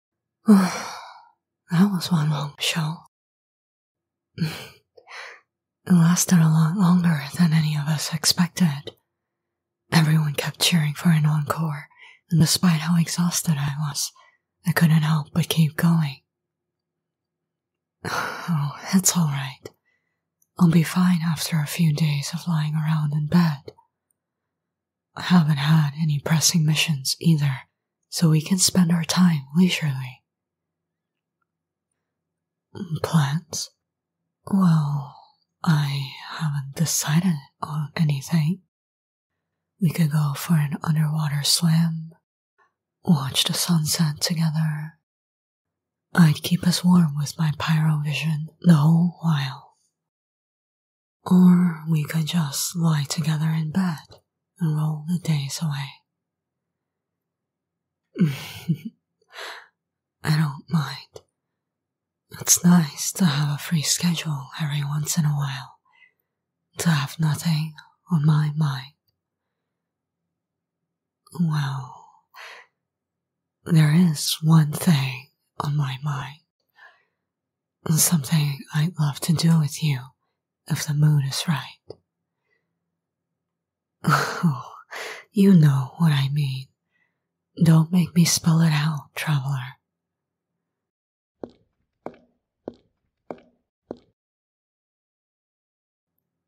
that was one long show. it lasted a lot longer than any of us expected. Everyone kept cheering for an encore, and despite how exhausted I was, I couldn't help but keep going. Oh, it's alright. I'll be fine after a few days of lying around in bed. I haven't had any pressing missions either, so we can spend our time leisurely. Plans? Well, I haven't decided on anything. We could go for an underwater swim, watch the sunset together. I'd keep us warm with my pyrovision the whole while, or we could just lie together in bed and roll the days away. I don't mind. It's nice to have a free schedule every once in a while, to have nothing on my mind. Well, there is one thing on my mind. Something I'd love to do with you if the mood is right. Oh, you know what I mean. Don't make me spell it out, traveler.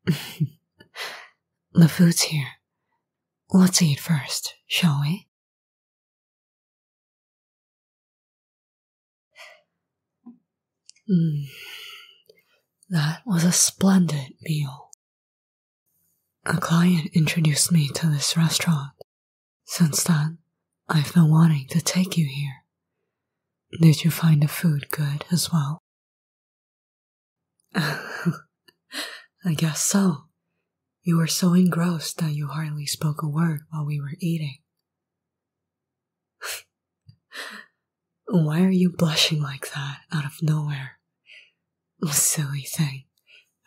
the food's here. Let's eat first, shall we? Mm. That was a splendid meal. A client introduced me to this restaurant. Since then, I've been wanting to take you here. Did you find the food good as well? I guess so. You were so engrossed that you hardly spoke a word while we were eating. Why are you blushing like that out of nowhere? Silly thing.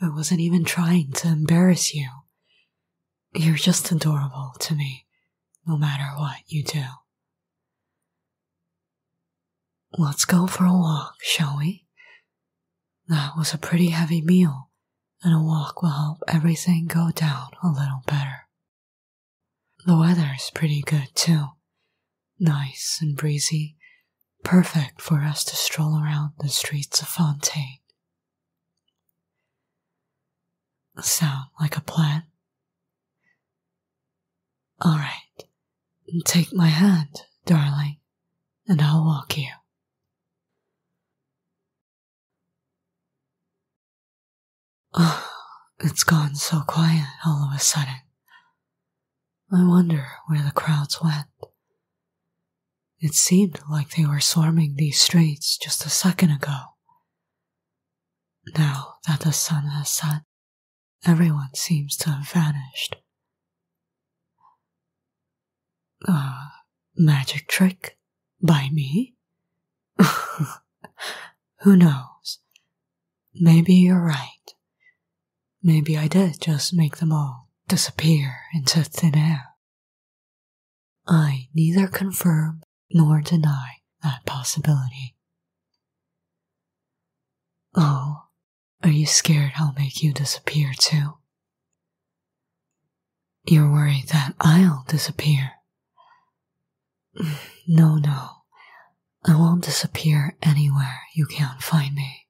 I wasn't even trying to embarrass you. You're just adorable to me, no matter what you do. Let's go for a walk, shall we? That was a pretty heavy meal, and a walk will help everything go down a little better. The weather is pretty good, too. Nice and breezy, perfect for us to stroll around the streets of Fontaine. Sound like a plan? All right, take my hand, darling, and I'll walk you. Oh, it's gone so quiet all of a sudden. I wonder where the crowds went. It seemed like they were swarming these streets just a second ago. Now that the sun has set, everyone seems to have vanished. A magic trick by me? Who knows? Maybe you're right. Maybe I did just make them all disappear into thin air. I neither confirm nor deny that possibility. Oh, are you scared I'll make you disappear too? You're worried that I'll disappear. No, no. I won't disappear anywhere you can't find me.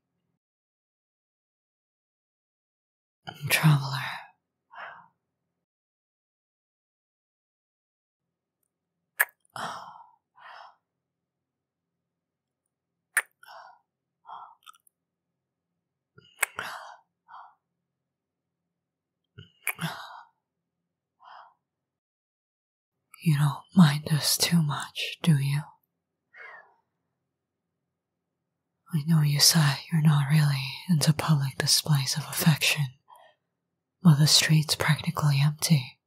Traveler, you don't mind us too much, do you? I know you say you're not really into public displays of affection, but the street's practically empty.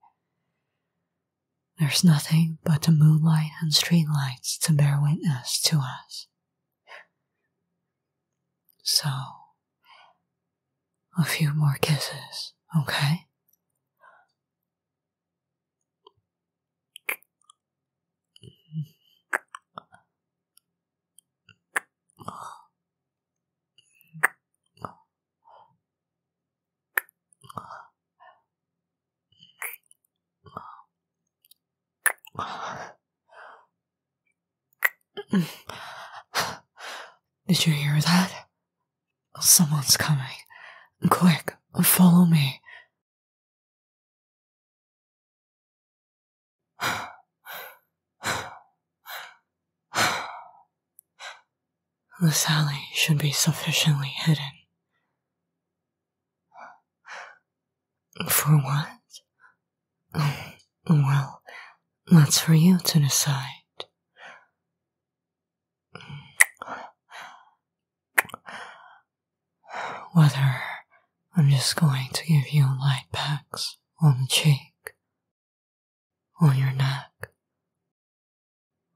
There's nothing but the moonlight and streetlights to bear witness to us. So, a few more kisses, okay? Did you hear that? Someone's coming. Quick, follow me. The alley should be sufficiently hidden. For what? Mm, well, that's for you to decide. Whether I'm just going to give you light pats on the cheek, on your neck,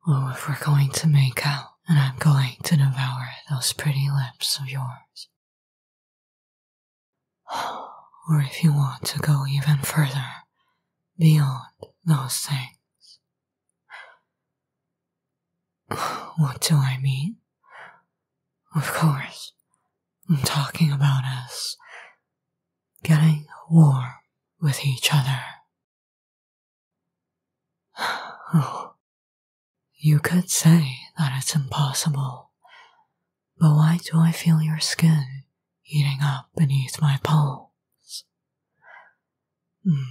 or if we're going to make out and I'm going to devour those pretty lips of yours. Or if you want to go even further beyond those things, what do I mean? Of course, I'm talking about us getting warm with each other. you could say that it's impossible, but why do I feel your skin heating up beneath my palms? Hmm.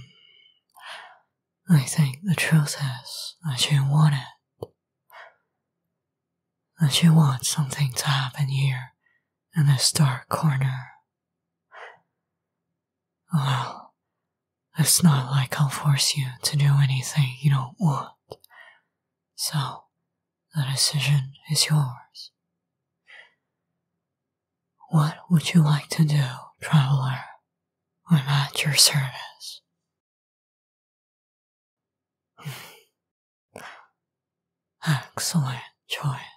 I think the truth is that she wanted. That she want something to happen here in this dark corner. Well, it's not like I'll force you to do anything you don't want. So, the decision is yours. What would you like to do, traveler? I'm at your service. Excellent choice.